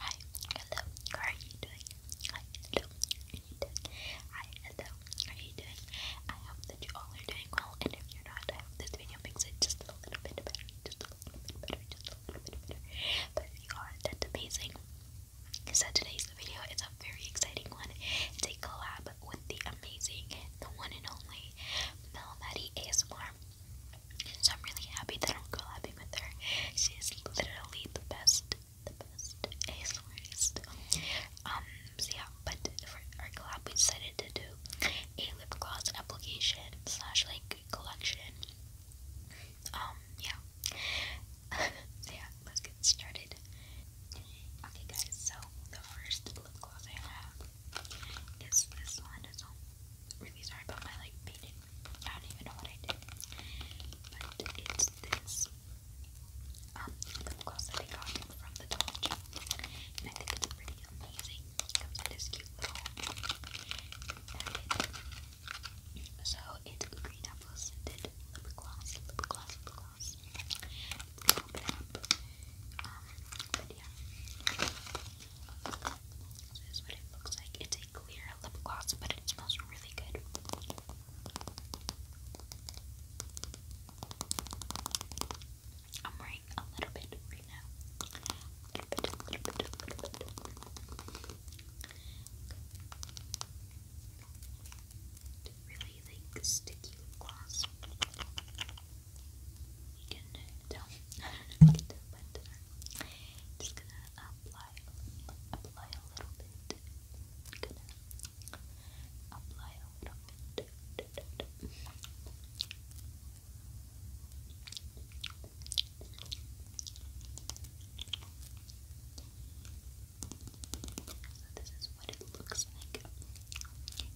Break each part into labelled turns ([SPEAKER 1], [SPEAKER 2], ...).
[SPEAKER 1] Hi, hello, how are you doing? Hi, hello, how are you doing? I hope that you all are doing well, and if you're not, I hope this video makes it just a little bit better, just a little bit better, just a little bit better. But if you are, that's amazing. So today's video is a very exciting one. It's a collab with the amazing, the one and only Mel Maddie ASMR. So I'm really happy that I'm collabing with She is literally the best, the best ASMR artist. Um, yeah, but for our collab we decided to do a lip gloss application slash like collection. Um, yeah. yeah, let's get started. Okay guys, so the first lip gloss I have is this one really sorry about my like painting. I don't even know what I did. But it's this um, lip gloss that I got from the Dollar General. And I think it's pretty amazing. comes in this cute little So it's green apple scented lip gloss, lip gloss, lip gloss. Open it up. Um, but yeah this is what it looks like. It's a clear lip gloss, but it smells really good. I'm wearing a little bit right now. A little bit, a little bit, a little bit. Okay. Really like sticky lip gloss. You can tell. I don't know just gonna apply, apply a little bit. Gonna apply a little bit. So this is what it looks like.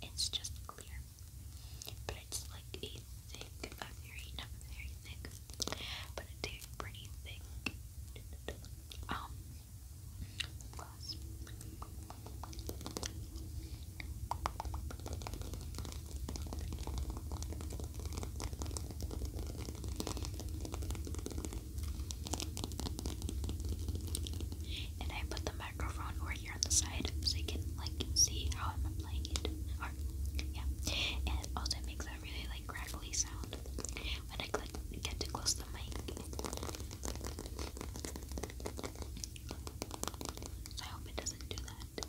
[SPEAKER 1] It's just clear, it's like a very, very thick, but a pretty thick, um, And I put the microphone over here on the side so you can like see how i playing it. Or, yeah. it also makes that really like crackly sound when I get to close the mic. So I hope it doesn't do that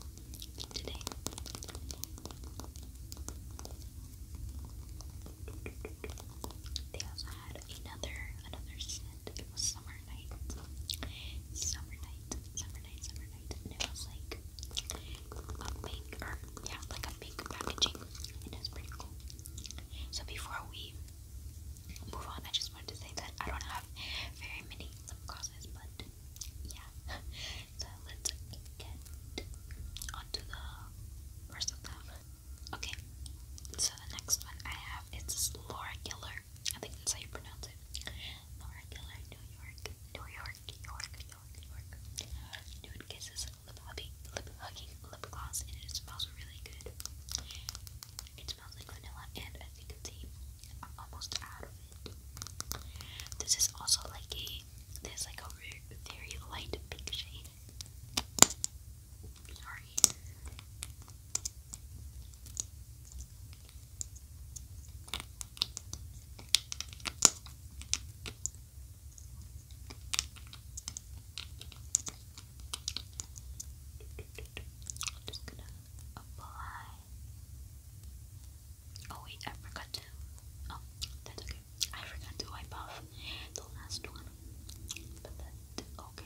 [SPEAKER 1] today. They also had another another scent. It was summer night. Summer night. Summer night. Summer night night, like a pink, or yeah, like a pink packaging, and pretty cool. So before we move on, I just wanted to say that I don't have very many lip glosses, but yeah. so let's get onto the rest of them. Okay, so the next one I have is Laura Geller I think that's how you pronounce it. Laura Killer, New York, New York, York, York, York. Nude Kisses Lip Hugging Lip Gloss, and it smells really good. It smells like vanilla, and as you I'm almost out of it. This is also like a, there's like a very light pink shade. Sorry. I'm just gonna apply. Oh wait, I forgot to. Oh, that's okay. I forgot to wipe off the last one. But that okay.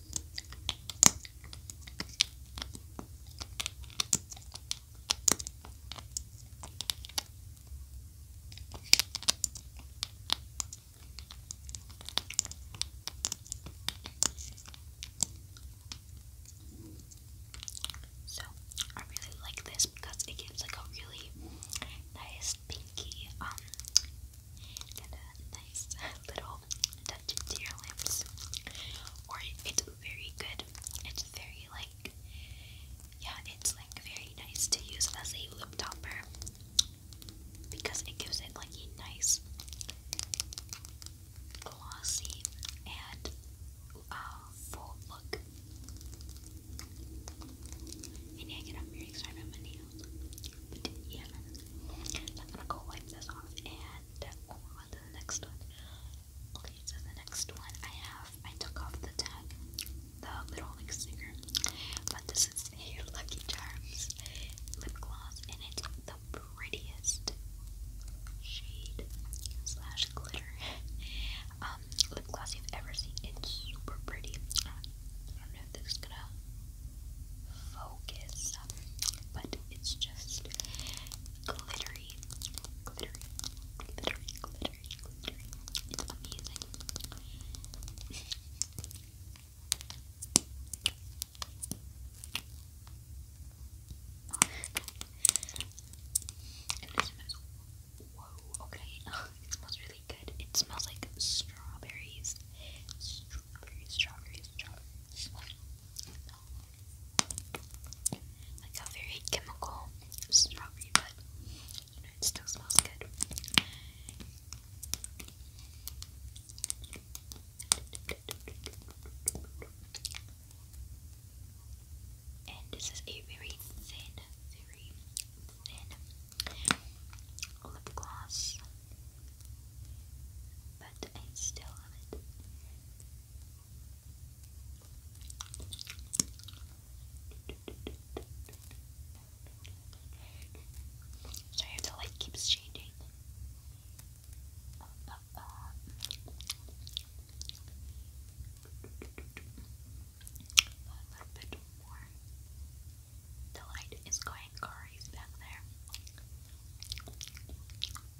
[SPEAKER 1] So I really like this because it gives like a really nice pinky um and a nice little touch to your lips. Or it's very good. It's very like, yeah, it's like very nice to use as a lip topper because it gives it like a nice glossy and uh, full look. And I get up very excited. I'm going yeah, I'm gonna go wipe this off and move on to the next one. Okay, so the next one I have, I took off the tag, the little like sticker, but this is a Lucky Charms lip gloss, and it's the prettiest shade slash glitter um, lip gloss you've ever seen. It's super pretty. I don't know if this is gonna focus, but it's just glittery, glittery, glittery, glittery, glittery. It's amazing. and this smells, whoa, okay, it smells really good. It smells like strawberries. Strawberries, strawberries, strawberries. Like a very chemical strawberry, but it still smells good. And this is a very thin, very lip gloss, but I still have it. Sorry the light keeps changing. A little bit more. The light is going crazy back there.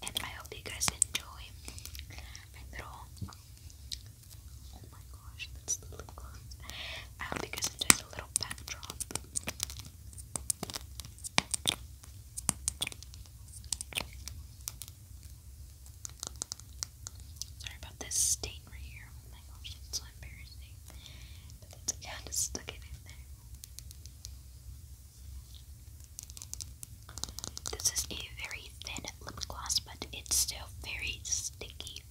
[SPEAKER 1] And I hope you guys enjoy my little. Oh my gosh, that's the lip gloss. I hope you little backdrop. Sorry about this stain right here my gosh, that's so embarrassing. But that's okay, I stuck it in there. This is a very thin lip gloss, but it's still very sticky.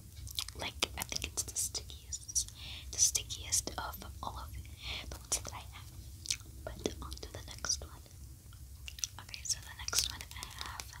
[SPEAKER 1] Like, I think it's the stickiest, the stickiest of all of the ones that I have. But on the next one. Okay, so the next one I have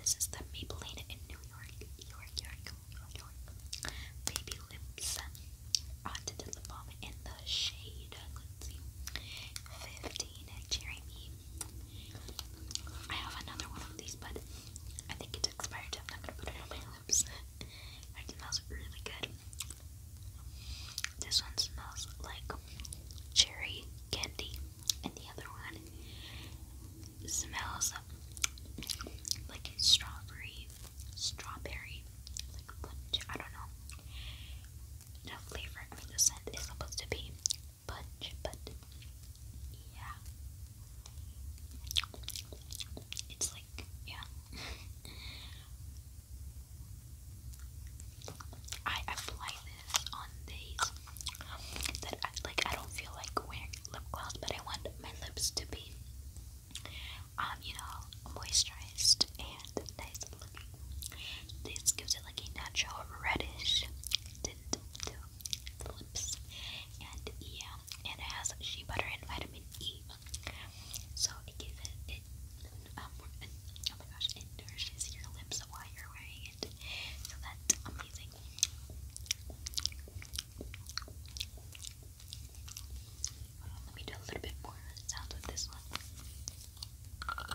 [SPEAKER 1] this is the Maybelline in New York, New York, New York, New York. Baby lip balm in the shade. Let's see. 15 Jeremy. I have another one of these, but I think it's expired, I'm not gonna put it on my lips. it smells really good. This one smells like cherry candy and the other one smells like strawberry, strawberry, like punch. I don't know. The flavor, I mean, the scent is supposed to be punch, but yeah, it's like yeah. I applied this on these that I, like I don't feel like wearing lip gloss, but I want my lips to be um you know moisturized and nice looking. This gives it like a natural reddish tint to the lips, and yeah, and it has shea butter and vitamin E, so it gives it. it um, and, oh my gosh, it nourishes your lips while you're wearing it. So that's amazing. let me do a little bit more with this one.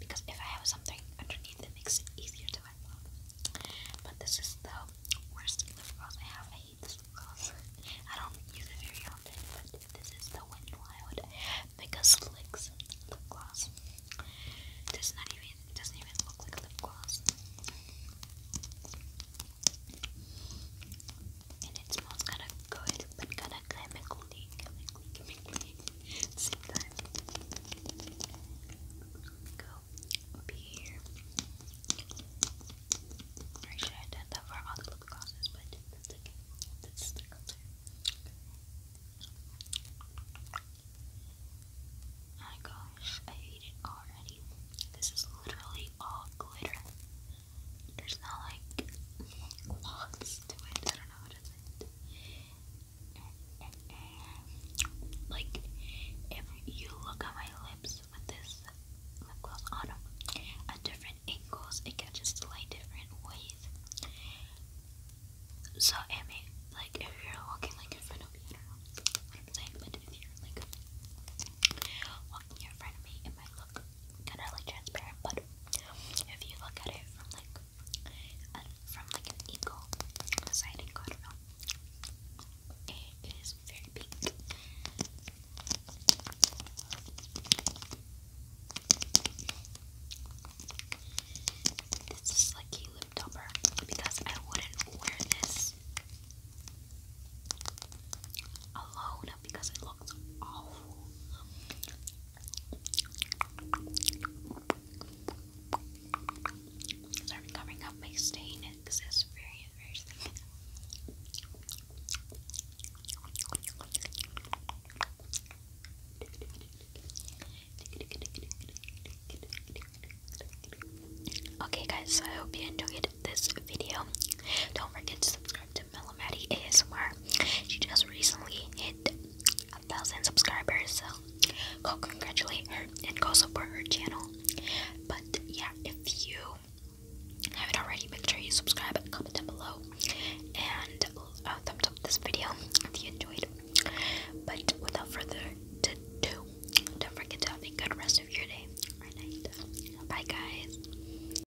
[SPEAKER 1] because if I have something underneath, that makes it easier to wipe But this is the worst lip gloss I have. I hate this lip gloss. I don't use it very often, but this is the Wet n Wild Mega Slicks lip gloss. Does not even doesn't even look like lip gloss. And it smells kind of good but kinda chemically, chemically, chemically at the same Go up here. I should have done that for all the lip glosses, but that's okay. the color. Oh my gosh, I hate it already. This is literally all glitter. There's not like lots to it. I don't know what is it. Like if you look at my lips with this lip gloss on at different angles, it catches the light different ways. So I like if you're walking like in front of me, I don't know what I'm saying, but if you're like walking in front of me and my look kind of like transparent, but if you look at it from like from like an eagle side and go it is very pink. This is like a lip topper because I wouldn't wear this alone because it looks awful. Sorry for up my stain, because Okay guys, so I hope you enjoyed this video. Don't forget to subscribe to Melometti ASMR. She just recently hit a thousand subscribers, so go congratulate her and go support her channel. But yeah, if you haven't already, make sure you subscribe and comment down below and uh, thumbs up this video if you enjoyed. But without further ado, don't forget to have a good rest of your day or night. Bye, guys.